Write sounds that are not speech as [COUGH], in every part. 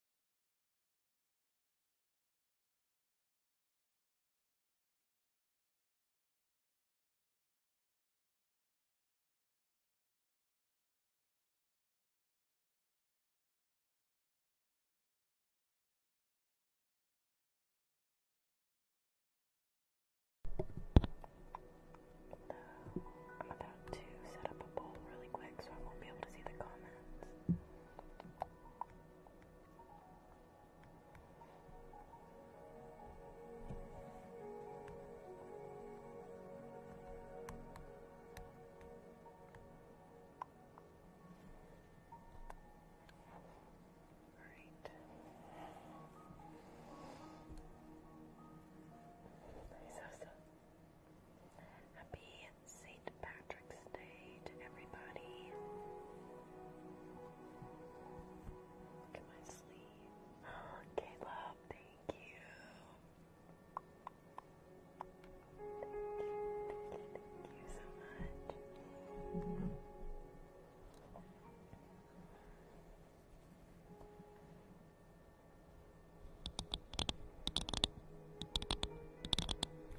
I'm about to set up a poll really quick so I won't be able to see the comments. Right. Nice, awesome. Happy St. Patrick's Day to everybody. Look at my sleeve. [GASPS] Caleb, thank you, thank you so much.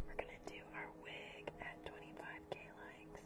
We're going to do our wig at 25k likes.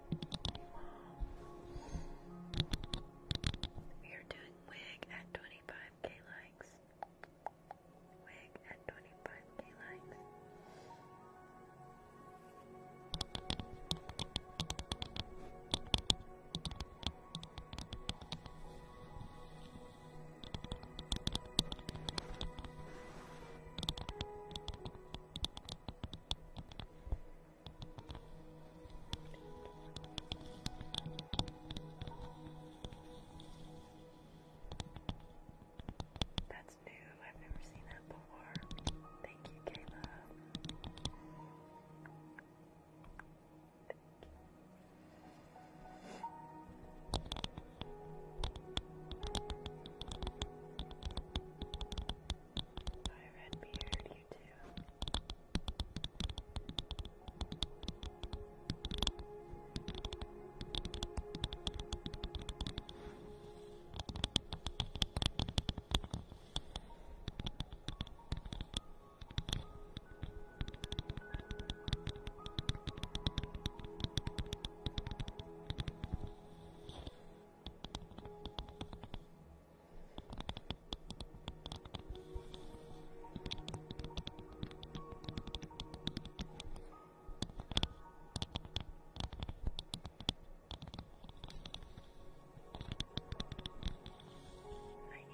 We are doing wig at 25k likes. Wig at 25k likes. That's new. I've never seen that before. Thank you, Kayla. Thank you. Hi, Redbeard, you too. I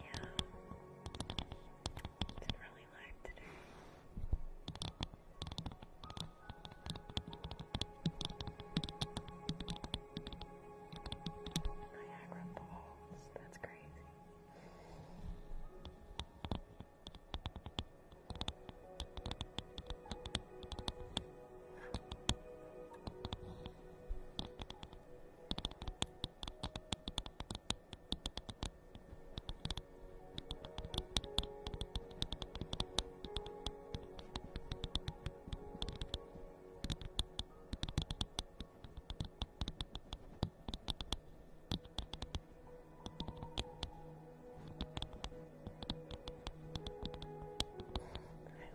know. It's really hard today. Niagara Falls, that's crazy. Wow. I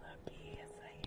love you, yes I am.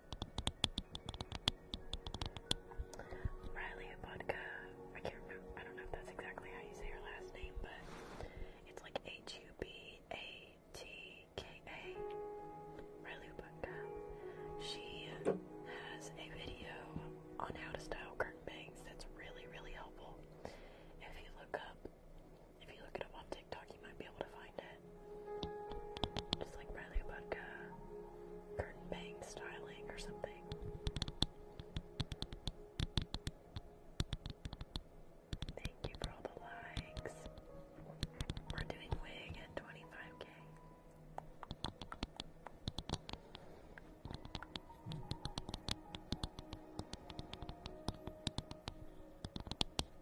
Riley Vodka. I can't I don't know if that's exactly how you say her last name, but it's like H U B A T K A. Riley Vodka. She has a video on how to style curtain bangs that's really, really helpful. If you look up, if you look it up on TikTok, you might be able to find it. Just like Bradley Vodka curtain bang styling or something. Thank you for all the likes. We're doing wig at 25k.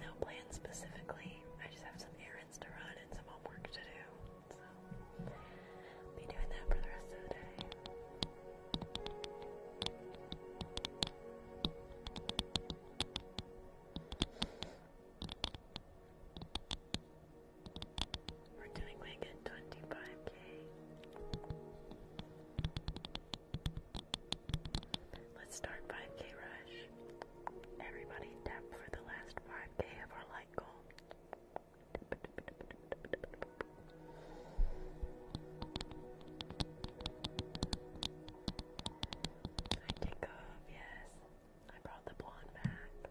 No plans specifically. I just have some errands to run and some homework to do. So, be doing that for the rest of the day. We're doing like a 25k. Let's start 5k rush. Everybody tap for the last 5k of our light goal. I take off, yes. I brought the blonde back.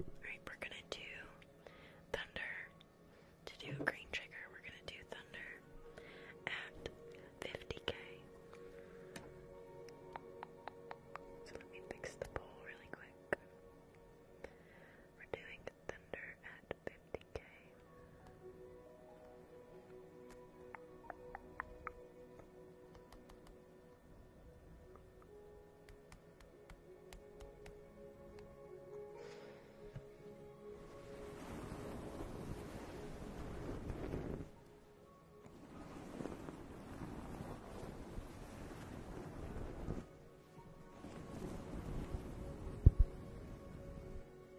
Alright, we're gonna do thunder. To do a green trigger, we're gonna do thunder at 50k. So let me fix the poll really quick. We're doing thunder at 150k.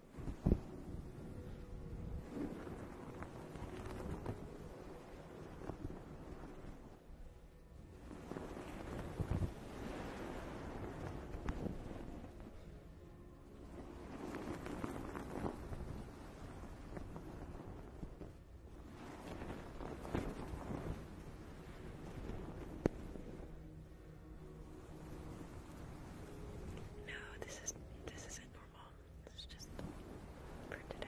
No, this is this isn't normal. It's just for today.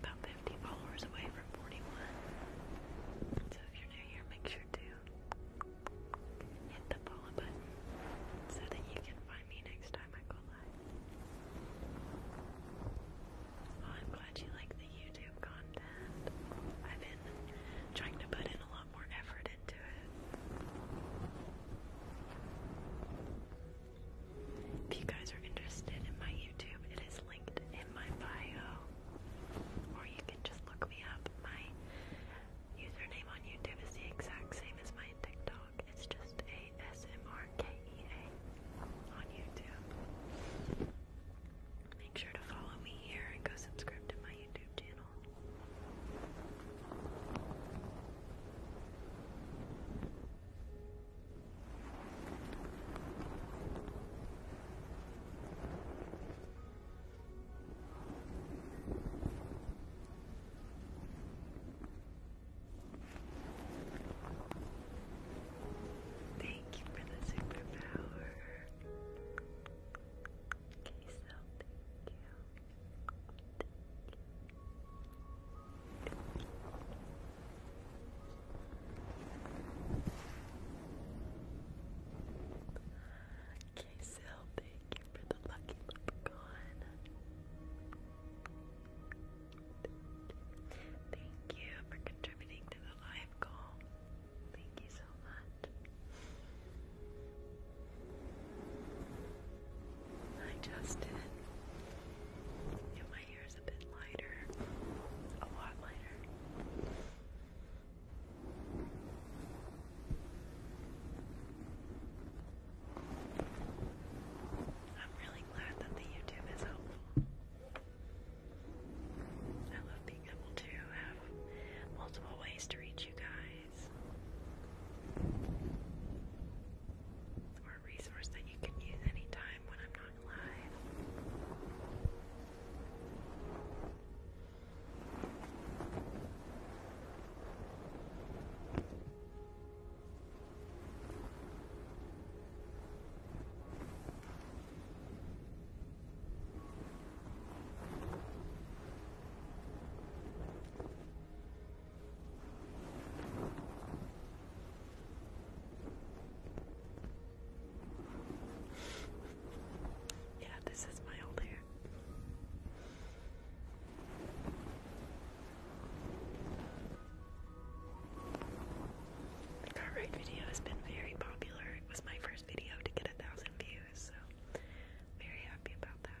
about 50 followers away from 41. So if you're new here, make sure to hit the follow button so that you can find me next time I go live. Well, I'm glad you like the YouTube content. I've been trying to put in a lot more effort into it. If you guys are interested in my YouTube, it is linked in my bio. Or you can just look me up. My username on YouTube is the exact same as my TikTok. It's just ASMRKEA on YouTube. Make sure to follow me here and go subscribe to my YouTube channel. Thank you for the superpower. Okay, so Thank you. Okay, thank you for the lucky leprechaun. Thank you for contributing to the live call. Thank you so much. Hi Justin. Am I your a bit lighter, a lot lighter. I'm really glad that the YouTube is helpful. I love being able to have multiple ways to reach you guys. Or resource that you can use anytime when I'm not going live. Yeah, this is my old hair. The car video has been very popular. It was my first video to get a thousand views, so very happy about that.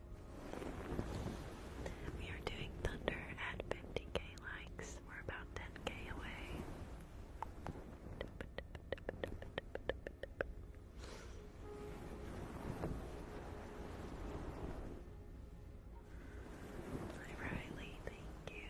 We are doing Thunder at 50k likes. We're about 10k away. Hi Riley, thank you.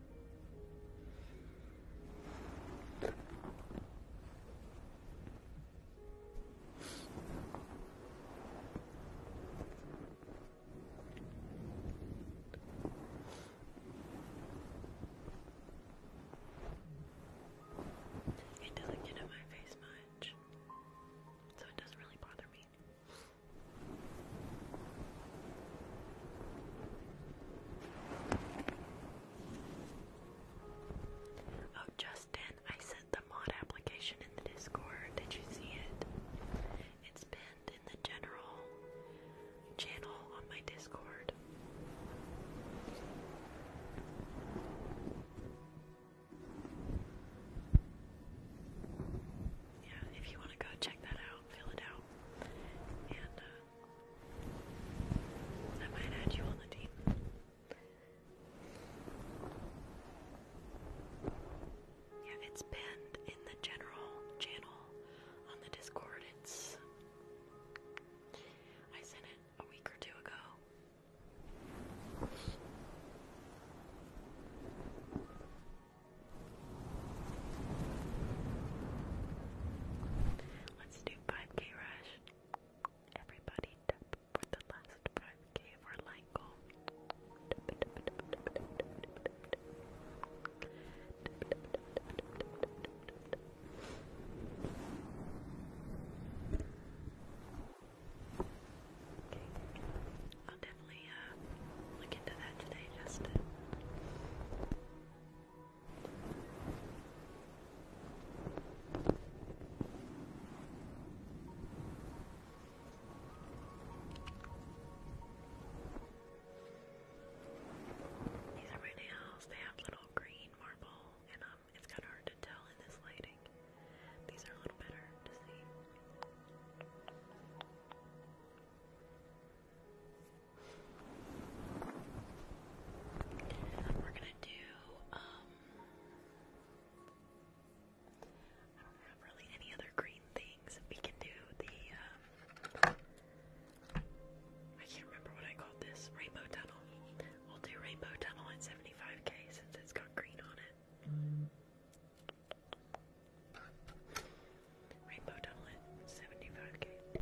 It doesn't get in my face much, so it doesn't really bother me. Oh, Justin, I sent the mod application in the Discord. Did you see it? It's pinned in the general channel on my Discord. Yeah, if you want to go check that out, fill it out, and uh, I might add you on the team. Yeah, it's banned in the general channel on the Discord. It's. I sent it a week or two ago. Let's do 5k rush. Everybody for the last 5k for Lanko. Okay. I'll definitely uh, look into that today, Justin. These are my nails. They have little green marble, and um, it's kind of hard to tell in this lighting. These are a little better to see. We're gonna do, um, I don't have any other green things. We can do the, um, I can't remember what I called this, rainbow tunnel. We'll do rainbow tunnel at 75k since it's got green on it. Rainbow tunnel at 75k.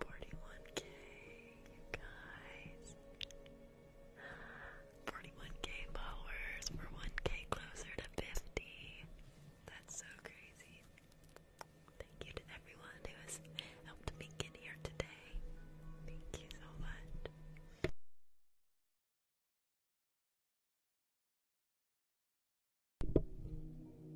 41k, you guys. 41k followers. we 1k closer to 50. That's so crazy. Thank you to everyone who has helped me get here today. Thank you so much.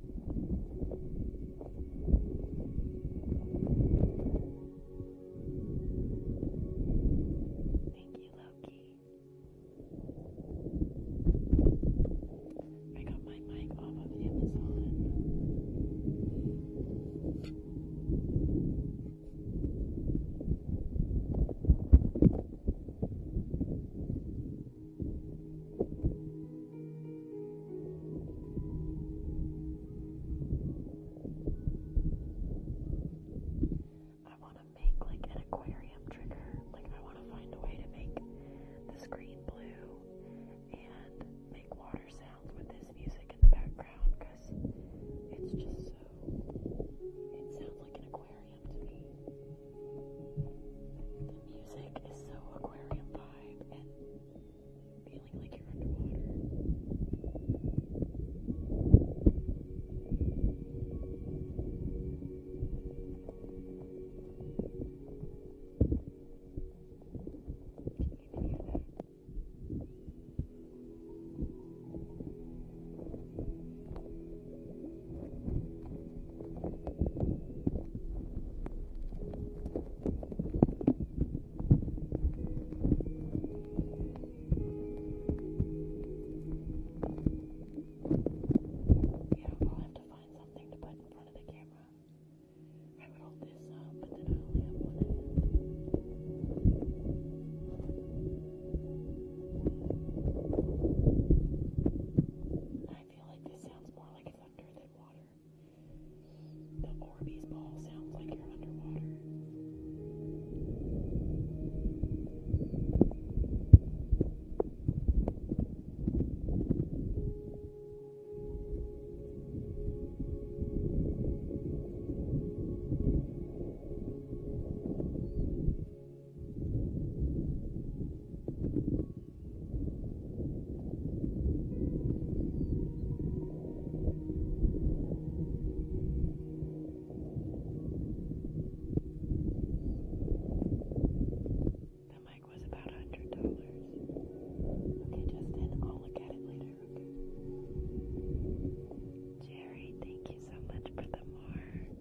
Thank you, Loki. I got my mic off of Amazon. Thank I want to make like an aquarium trigger. Like, I want to find a way to make the screen blue and make water sounds with this music in the background because it's just so. It sounds like an aquarium to me. The music is so aquarium vibe vibe and feeling like you're underwater. Can you hear that? It's yeah, I'll have to find something to put in front of the camera. I would hold this up, but then I only have one hand. I feel like this sounds more like thunder than water. The Orbeez ball sounds like you're underwater. The mic was about a hundred dollars. Okay, Justin, I'll look at it later. Okay. Jerry, thank you so much for the march.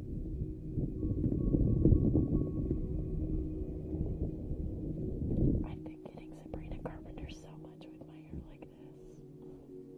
I've been getting Sabrina Carpenter so much with my hair like this. I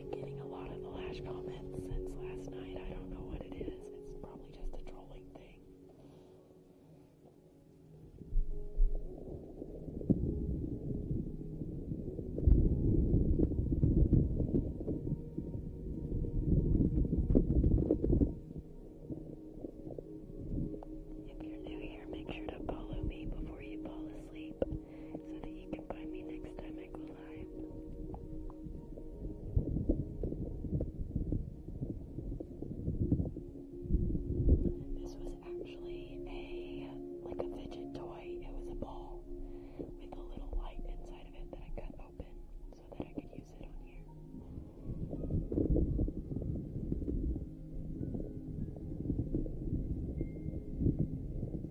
been getting a lot of the lash comments since last night. I don't know what it is. It's probably just a trolling thing. If you're new here, make sure to follow me before you fall asleep so that you can buy me next time I go live. This was actually a like a fidget toy. It was a ball with a little light inside of it that I cut open so that I could use it on here.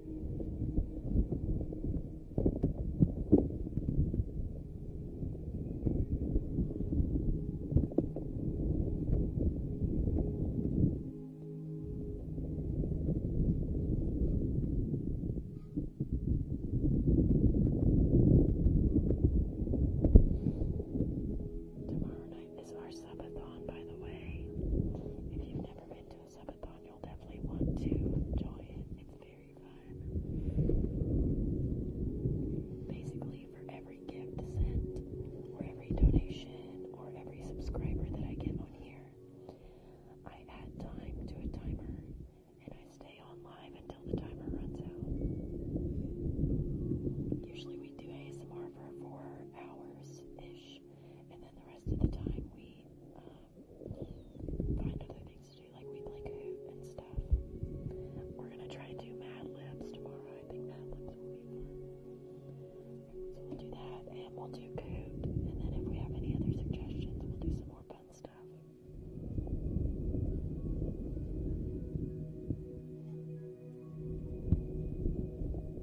Tomorrow night is our subathon, by the way. If you've never been to a you'll definitely want to enjoy It's very fun. Basically, for every gift sent, or every donation, or every subscriber that I get on here, I add time to a timer and I stay on live until the timer runs out. Usually, we do ASMR for four hours ish, and then the rest of the time we um, find other things to do, like we play Coot and stuff. We're gonna try to do Mad Libs tomorrow. I think Mad Libs will be fun. So we'll do that, and we'll do Coot, and then if we have any other suggestions, we'll do some more fun stuff.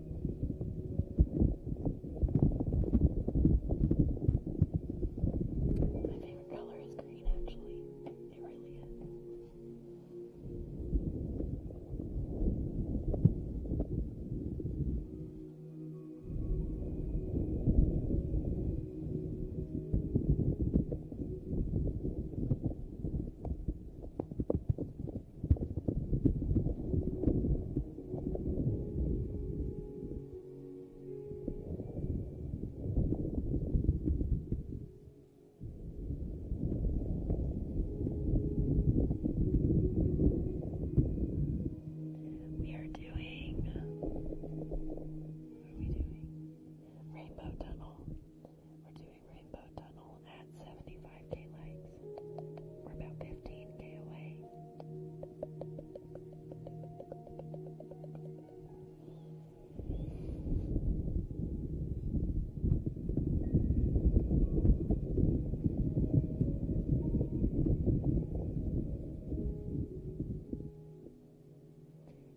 My favorite color is green, actually. It really is. I we are doing. What are we doing? Rainbow Tunnel. We're doing Rainbow Tunnel at 75 daylight. We're about 15k away.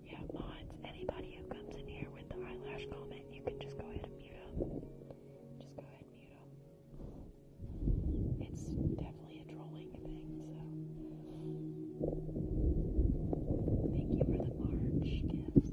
Yeah, mods, anybody who comes in here with the eyelash comment, you can just go ahead and mute them. Just go ahead and mute them. It's definitely a trolling thing, so thank you for the March gifts.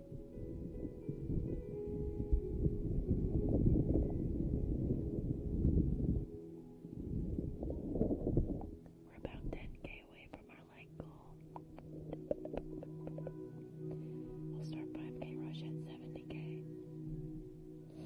We're about 10k away from our light goal. We'll start 5k rush at 70k. We're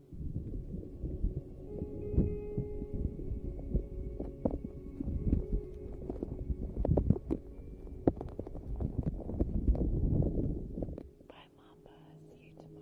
Bye, Mamba. See you tomorrow.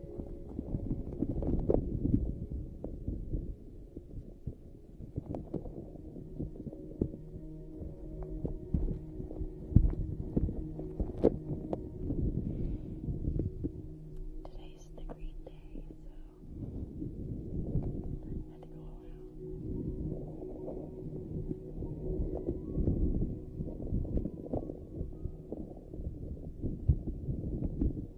Today's the green day, so I had to go all out.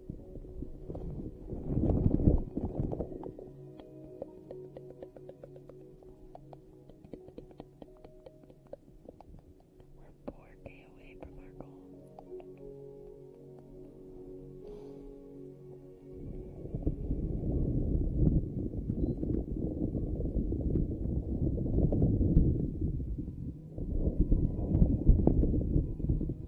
We're 4K away from our goal. Thank you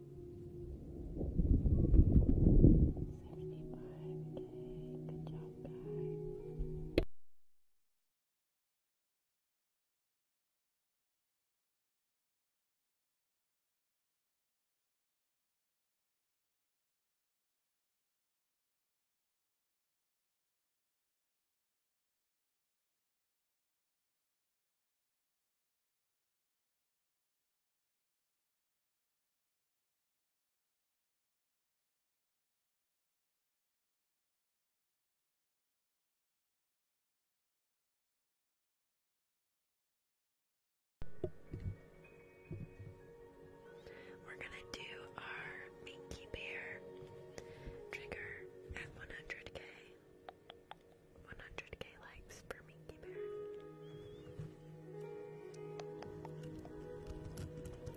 Good job, guys. We're going to do our Minky Bear trigger at 100k. 100k likes for Minky Bear.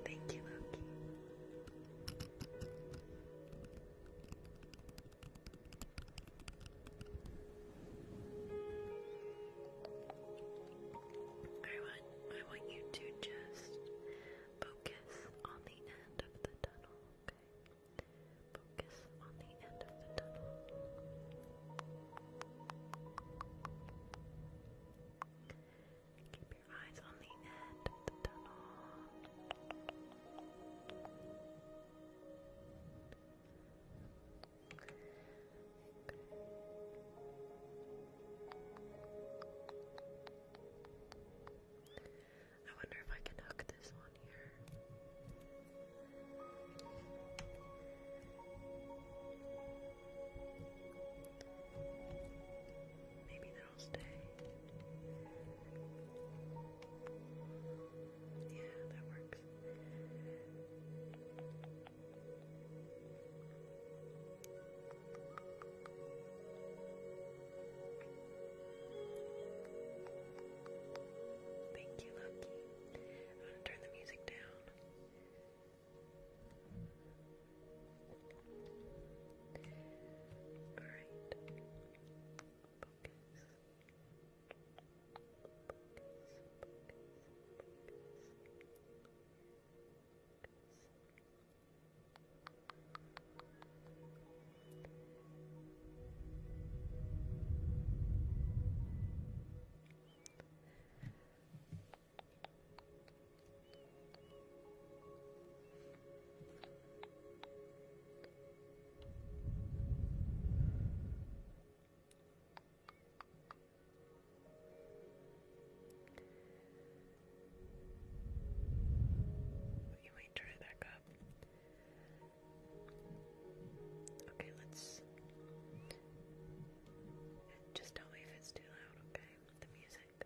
Thank you, Loki. I I want you to just focus on the end of the tunnel, okay? Focus on the end of the tunnel. Keep your eyes on the end of the tunnel. I wonder if I can hook this one. Maybe that'll stay. Yeah, that works. Thank you, Lucky. I'm gonna turn the music down. Alright. You might try back up. Okay, let's. Just tell me if it's too loud, okay? The music.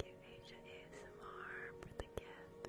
Thank you, Asia ASMR, for the gift.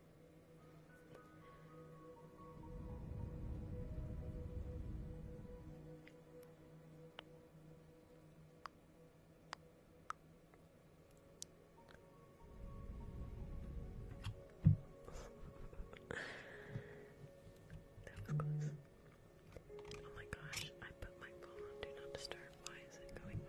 that was close. Oh my gosh, I put my phone on do not disturb. Why is it going off?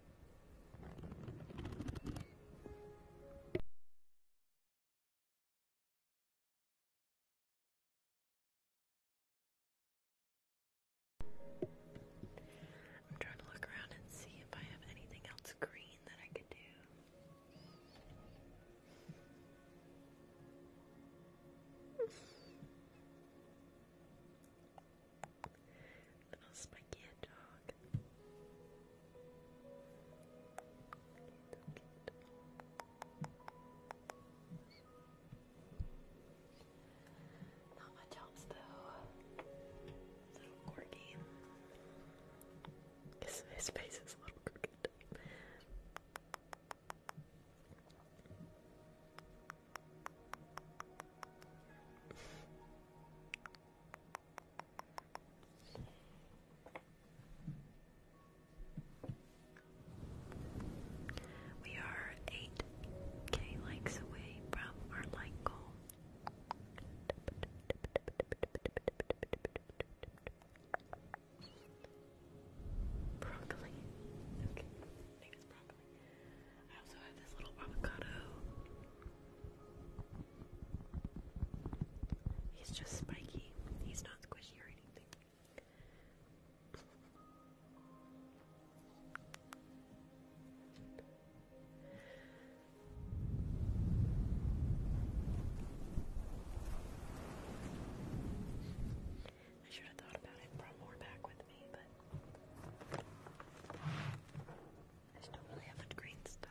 I'm trying to look around and see if I have anything else green that I could do. Little spiky hedgehog. Okay, Not much else though. Little corgi. His, face is a little crooked. We are 8k likes away from our like goal. Broccoli. I also have this little avocado. He's just spiky. He's not squishy or anything. I should have thought about it brought more back with me, but I still really have the green stuff.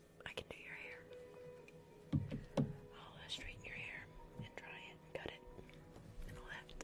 I can do your hair. I'll uh, straighten your hair and dry it cut it and all that.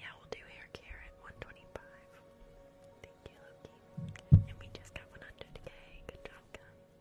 Yeah, we'll do hair at 125. Thank you, Loki. And we just got 100k. Good job, guys.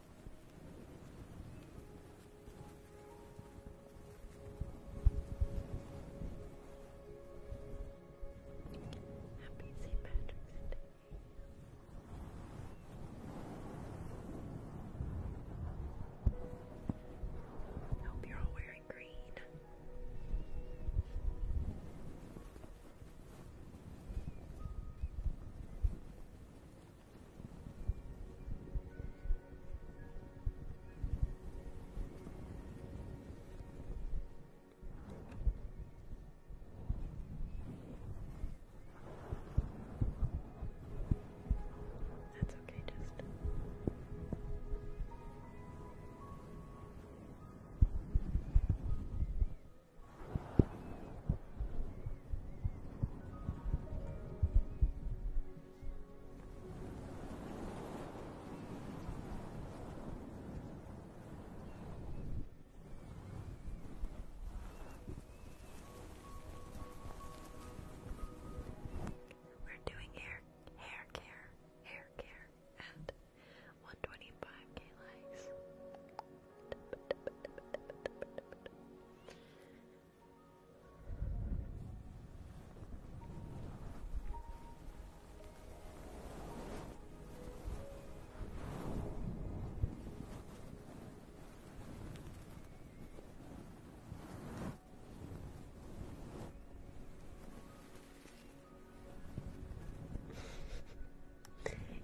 Happy St. Patrick's Day. Hope you're all wearing green. That's okay, just we're doing hair hair care, hair care and 125k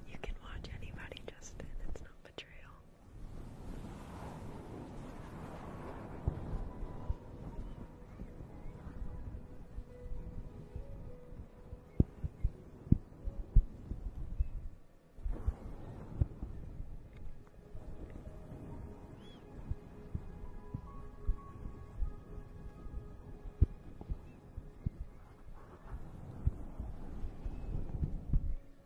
you can watch anybody, Justin. It's not betrayal.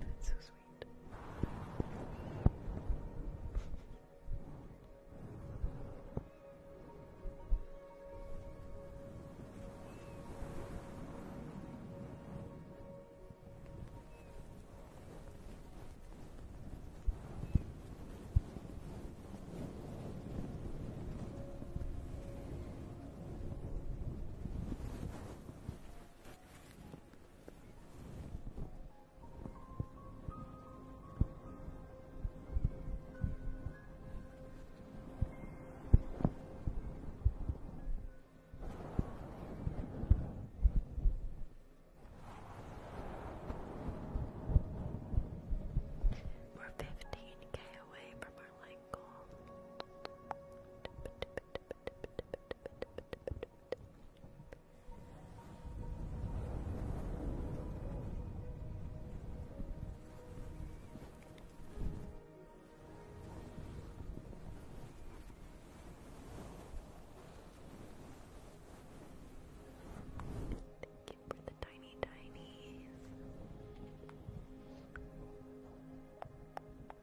That's so sweet. We're 15k away from our like Thank you for the tiny tinies.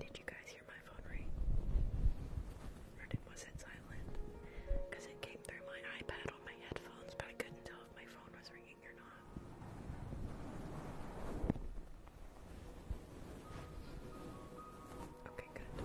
Did you guys hear my phone ring? Or was it silent? it came through my iPad on my headphones, but I couldn't tell if my phone was ringing or not. Okay, good.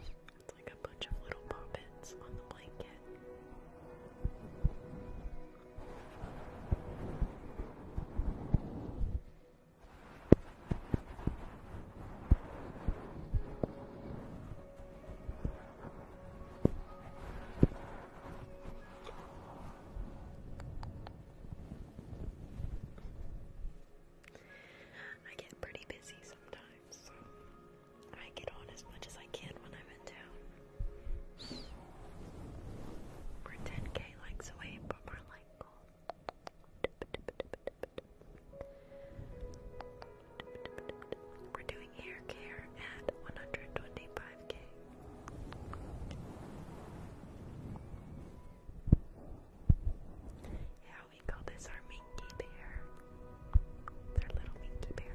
It's like a bunch of little puppets on the blanket. It's I get pretty busy sometimes, I get on as much as I can when I'm in town. We're 10k likes away from our like we're doing hair care at 125k. Yeah, we call this our minky bear. It's little minky bear.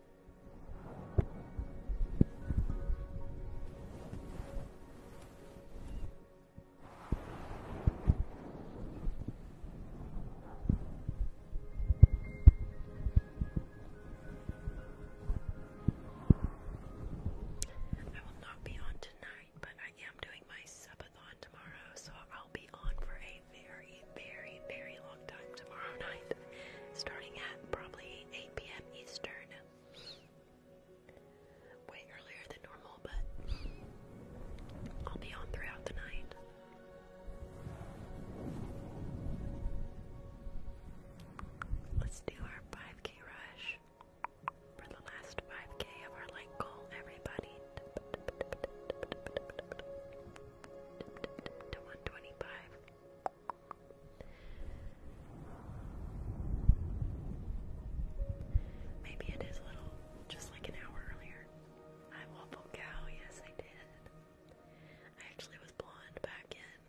I will not be on tonight, but I am doing my subathon tomorrow, so I'll be on for a very, very, very long time tomorrow [LAUGHS] night, starting at probably 8 p.m. Eastern. Way earlier than normal, but I'll be on throughout the night. Let's do our 5k rush for the last 5k of our light goal, everybody. To 125. Maybe it is a little, just like an hour earlier. I waffle oh, cow, yes I did. I actually was blonde back in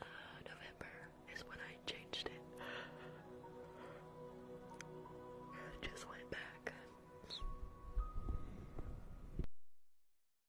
uh, November is when I changed it. [GASPS] just went back.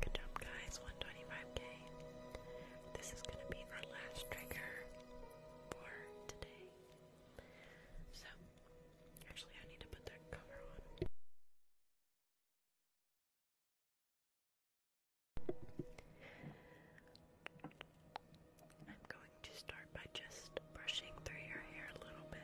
Good job, guys. 125k. This is going to be our last trigger for today. So, actually, I need to put that cover on. I'm going to start by just brushing through your hair a little bit.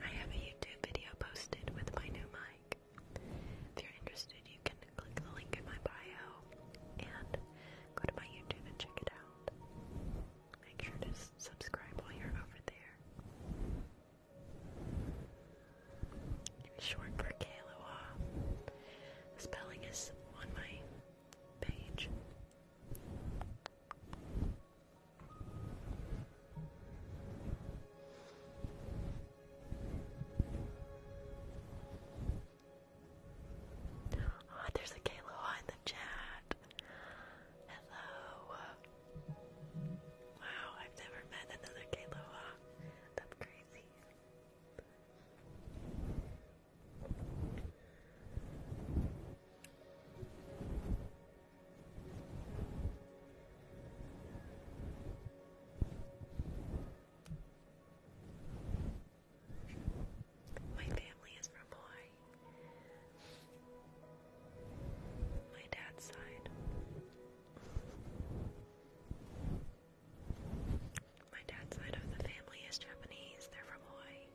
I have a YouTube video posted with my new mic. If you're interested, you can click the link in my bio and go to my YouTube and check it out. Make sure to subscribe while you're over there. Short for Kailua. spelling is on my page. Ah, there's a Kailua in the chat. Hello. Wow, I've never met another Kailua. That's crazy. My family is from Hawaii. My dad's side. My dad's side of the family is Japanese. They're from Hawaii.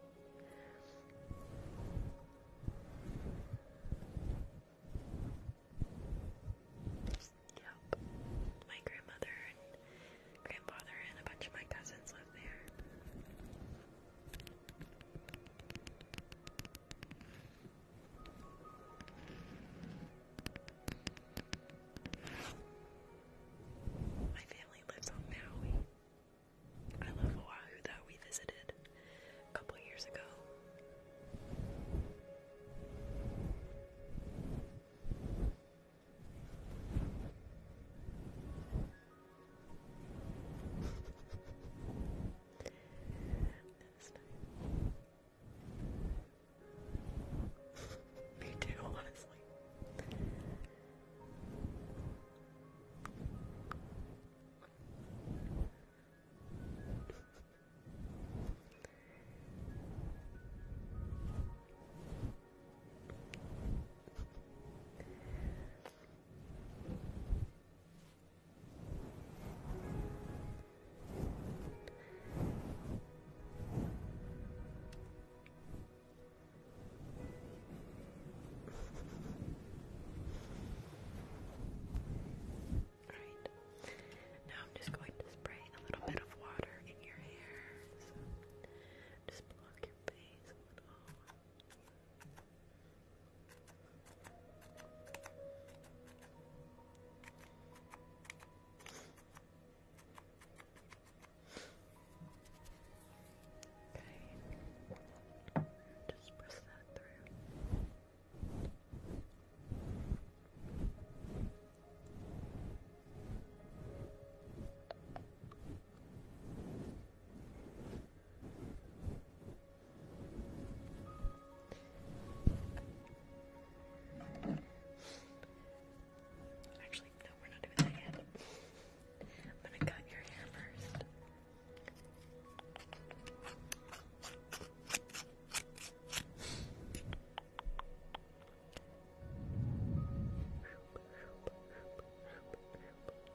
Yep. My grandmother and grandfather and a bunch of my cousins live there. My family lives on Maui. I love Oahu though. We visited a couple years ago. This time. Me too, honestly. Alright. Now I'm just going to spray a little bit of water in your hair. So just block your face a little. Okay. Just press that through. Okay. Actually, no, we're not doing that yet. I'm gonna cut your hair first. We're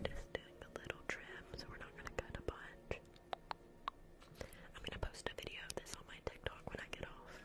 just doing a little trim, so we're not going to cut a bunch. I'm going to post a video of this on my TikTok when I get off.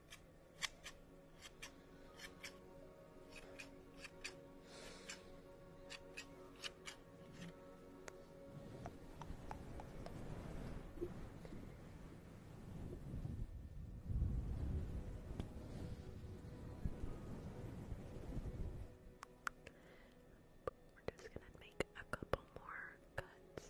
We're just gonna make a couple more cuts.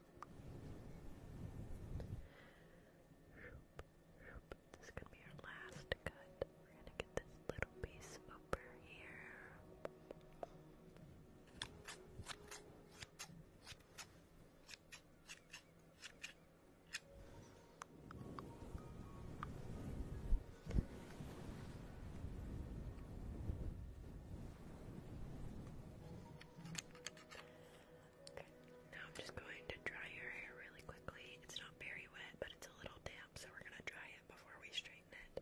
This is gonna be our last cut. We're gonna get this little piece over here. Okay, now I'm just going to dry your hair really quickly. It's not very wet, but it's a little damp, so we're going to dry it before we straighten it.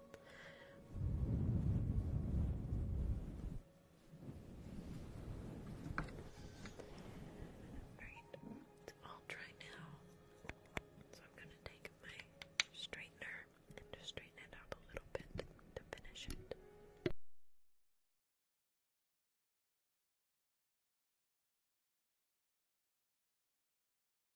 Alright, I'll try now. So I'm gonna take my straightener and just straighten it up a little bit to finish it.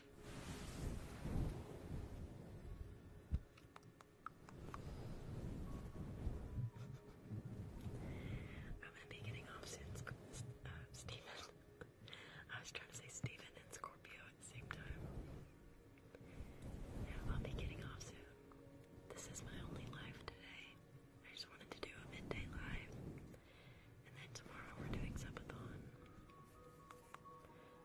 I'm gonna be getting off since uh, Stephen. I was trying to say Stephen and Scorpio at the same time. I'll be getting off soon. This is my only live today. I just wanted to do a midday live. And then tomorrow we're doing subathon.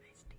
Nice deep.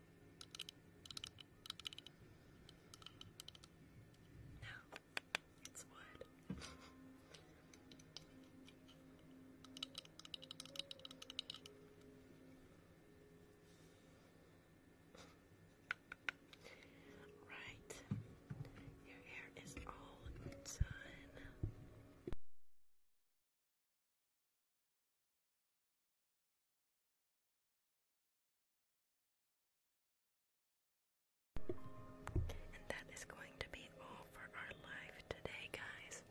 No, it's wood. [LAUGHS] right, your hair is all done. And that is going to be all for our live today, guys.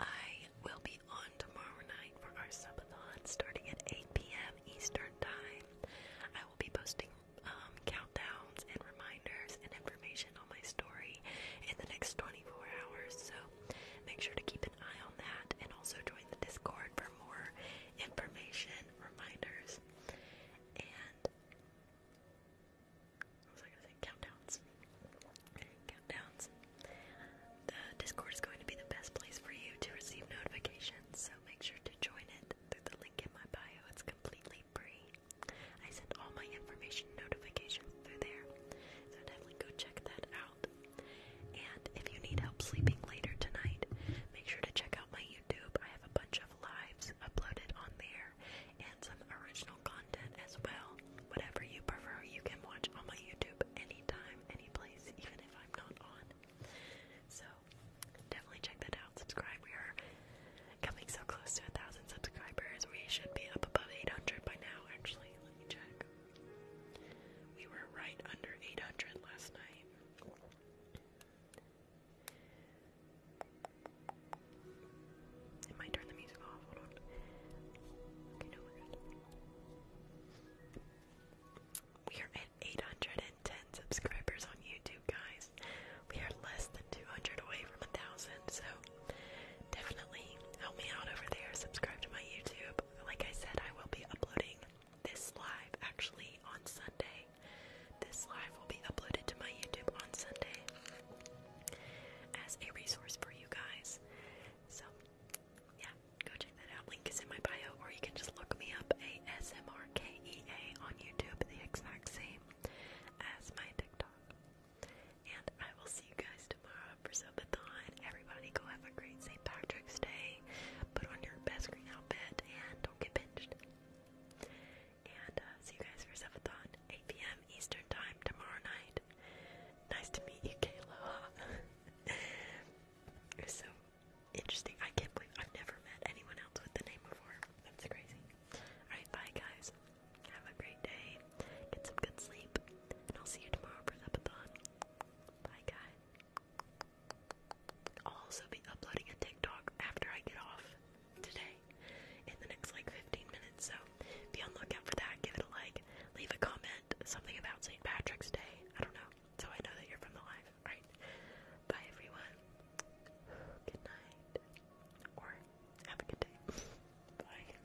I will be on tomorrow night for our subathon starting at 8 p.m. Eastern Time. I will be posting um, countdowns and reminders and information on my story in the next 24 hours. So Make sure to keep an eye on that and also join the Discord for more information, reminders, and what was I gonna say? Countdowns. Countdowns. The Discord is going to be the best place for you to receive notifications, so make sure to join it through the link in my bio. It's completely free. I send all my information notifications through there, so definitely go check that and if you need help sleeping later tonight, make sure to check out my YouTube. I have a bunch of lives uploaded on there and some original content as well. Whatever you prefer, you can watch on my YouTube anytime, any place, even if I'm not on. So definitely check that out. Subscribe. We are coming so close to a thousand subscribers. We should be up above 800 by now, actually. Let me check. We were right under 800 last night. It might turn the music off. Hold on. We are at 810 subscribers on YouTube, guys. We are less than 200 away from a thousand, so definitely help me out over there. Subscribe to my YouTube like I said, I will be uploading this live actually on Sunday. This live will be uploaded to my YouTube on Sunday as a resource for you guys. So, yeah, go check that out. Link is in my bio, or you can just look me up ASMRKEA on YouTube, the exact same as my TikTok. And I will see you guys tomorrow for Subathon. Everybody go have a great St. Patrick's Day. Put on your best green outfit and don't get pinched. And uh, see you guys for Subathon, 8 p.m. Eastern Time tomorrow night. Nice to meet you, Kayla. It's [LAUGHS] so interesting. I can't believe I've never met anyone else with the name before. That's crazy. Alright, bye guys. Have a great day. Get some good sleep. And I'll see you tomorrow for Subathon. Bye, guys. I'll also be uploading a TikTok after I get off today in the next like 15 minutes. So be on the lookout for that. Give it a like. Leave a comment. Something about St. Patrick's Day. I don't know. So I know that you're from the live. Alright. Bye, everyone. Good night. Or have a good day. [LAUGHS] Bye.